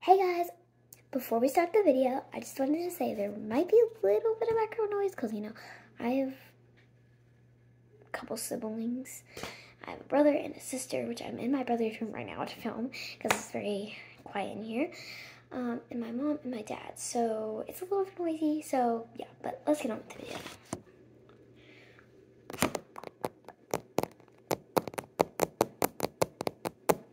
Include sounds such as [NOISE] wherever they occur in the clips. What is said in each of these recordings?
Hey guys, before we start the video, I just wanted to say there might be a little bit of background noise because, you know, I have a couple siblings. I have a brother and a sister, which I'm in my brother's room right now to film because it's very quiet in here. Um, and my mom and my dad, so it's a little bit noisy, so yeah, but let's get on with the video.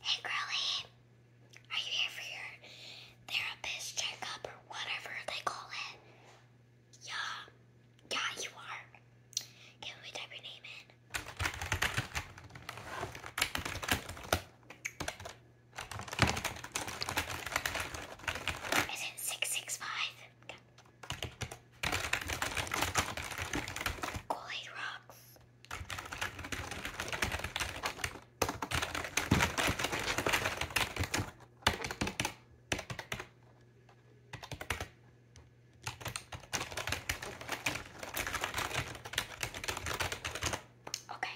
Hey, girlie, are you here for your therapist checkup or whatever they call it? Yeah, yeah, you are. Can we type your name in? Is it six six five? Okay kool rocks. Okay.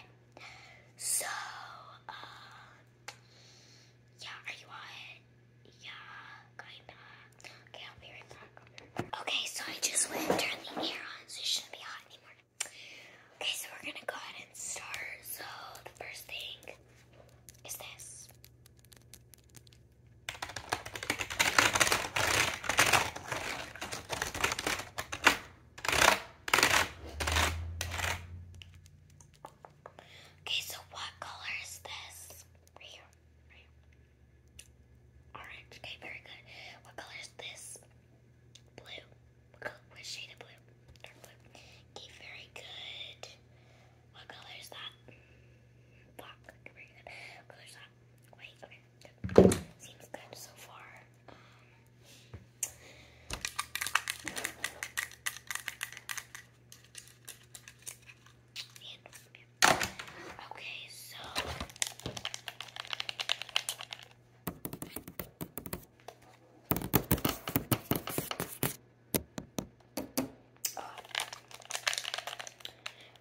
So, uh, yeah, are you on yeah, kinda. Okay, I'll be right back. Okay, so I just went and turned the air on, so it shouldn't be hot anymore. Okay, so we're gonna go ahead and start. So the first thing is this. Okay, so what color is this? Orange. Okay, very good. What color is this? Blue. What, shade of blue? Dark blue. Okay, very good. What color is that? Black. very good. What color is that? White. Okay, Seems good so far. Um, Okay, so oh.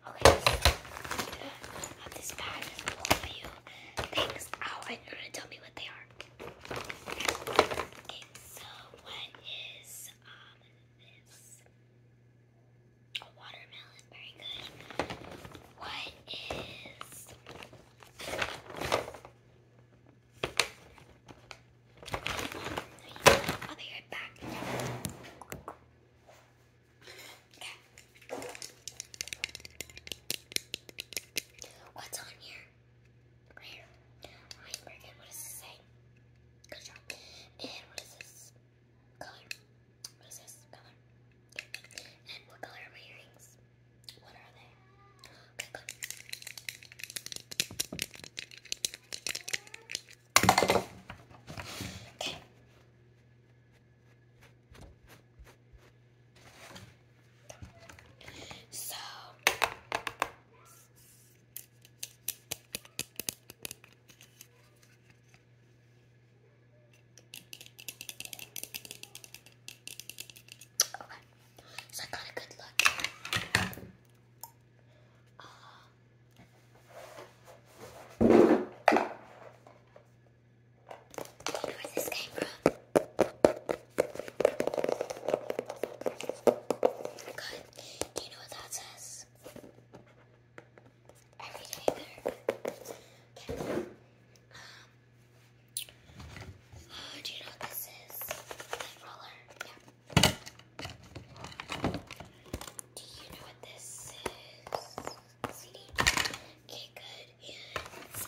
Okay, so uh, this bag is you things out you're gonna tell me what they are. Okay, so what is um a watermelon. Very good. What is I'll be right back. Okay. What's on here? Right here. What does it say? Good job. And what is this color? What is this color? And what color are my earrings? What are they? Okay. So. Okay, so I got a good look. Uh, do you this came Good. Do you know what that says? every day do you know what this is? roller? Do you know what this is? Okay, good. so,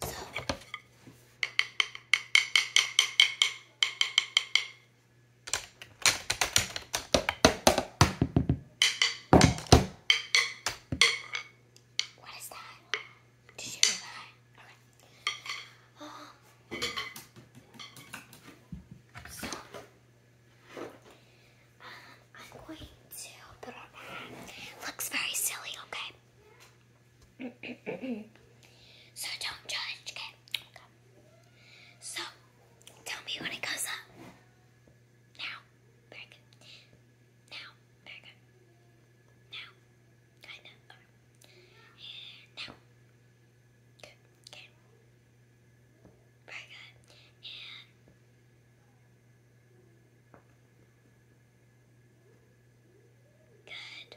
So, what is that? Did you hear that? Okay. Um, so, I'm going to put on that. Looks very silly, okay? [CLEARS THROAT] so don't judge, okay? So, tell me when it goes up. Now. Very good. Now. Very good. Now. Kinda. And now. Good. Okay. Very good. good.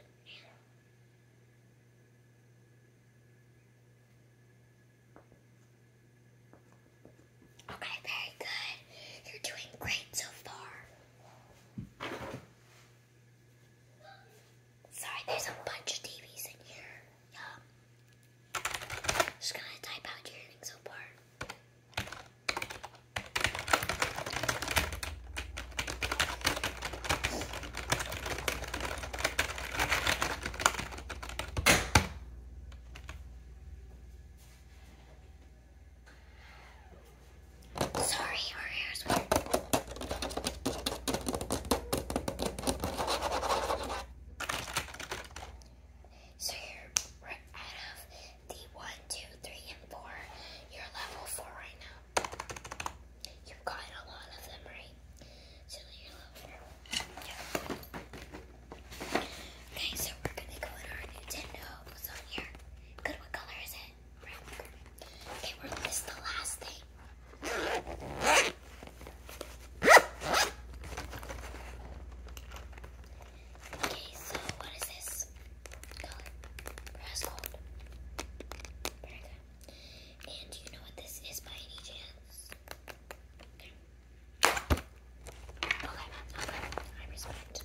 Okay, very good. You're doing great so far. Sorry, there's a bunch of TVs in here. Yum. Just gonna type out your earnings so far. Sorry, our hair's weird. So you're right out of the one, two, three, and four. You're level four right now. You've got a lot of them, right? So you're level four. Okay, so we're gonna go in our Nintendo. What's on here? Good. What color is it? Right. Okay, we're, this the last thing. Okay, so what is this color? Brass gold. Very good. And you know what this is by any chance? Okay. Okay, okay. I respect.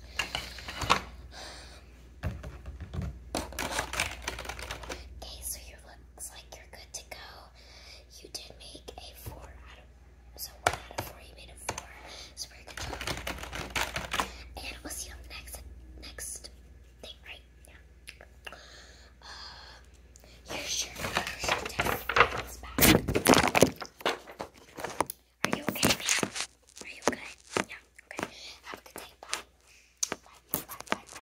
Okay, so your lip looks like you're good to go. You did make a four out of, so one out of four, you made a four. So very good job. And we'll see you next, next thing, right? Yeah. Um, Are you okay, man? Are you good? Yeah, okay. Have a good day. bye, bye, bye.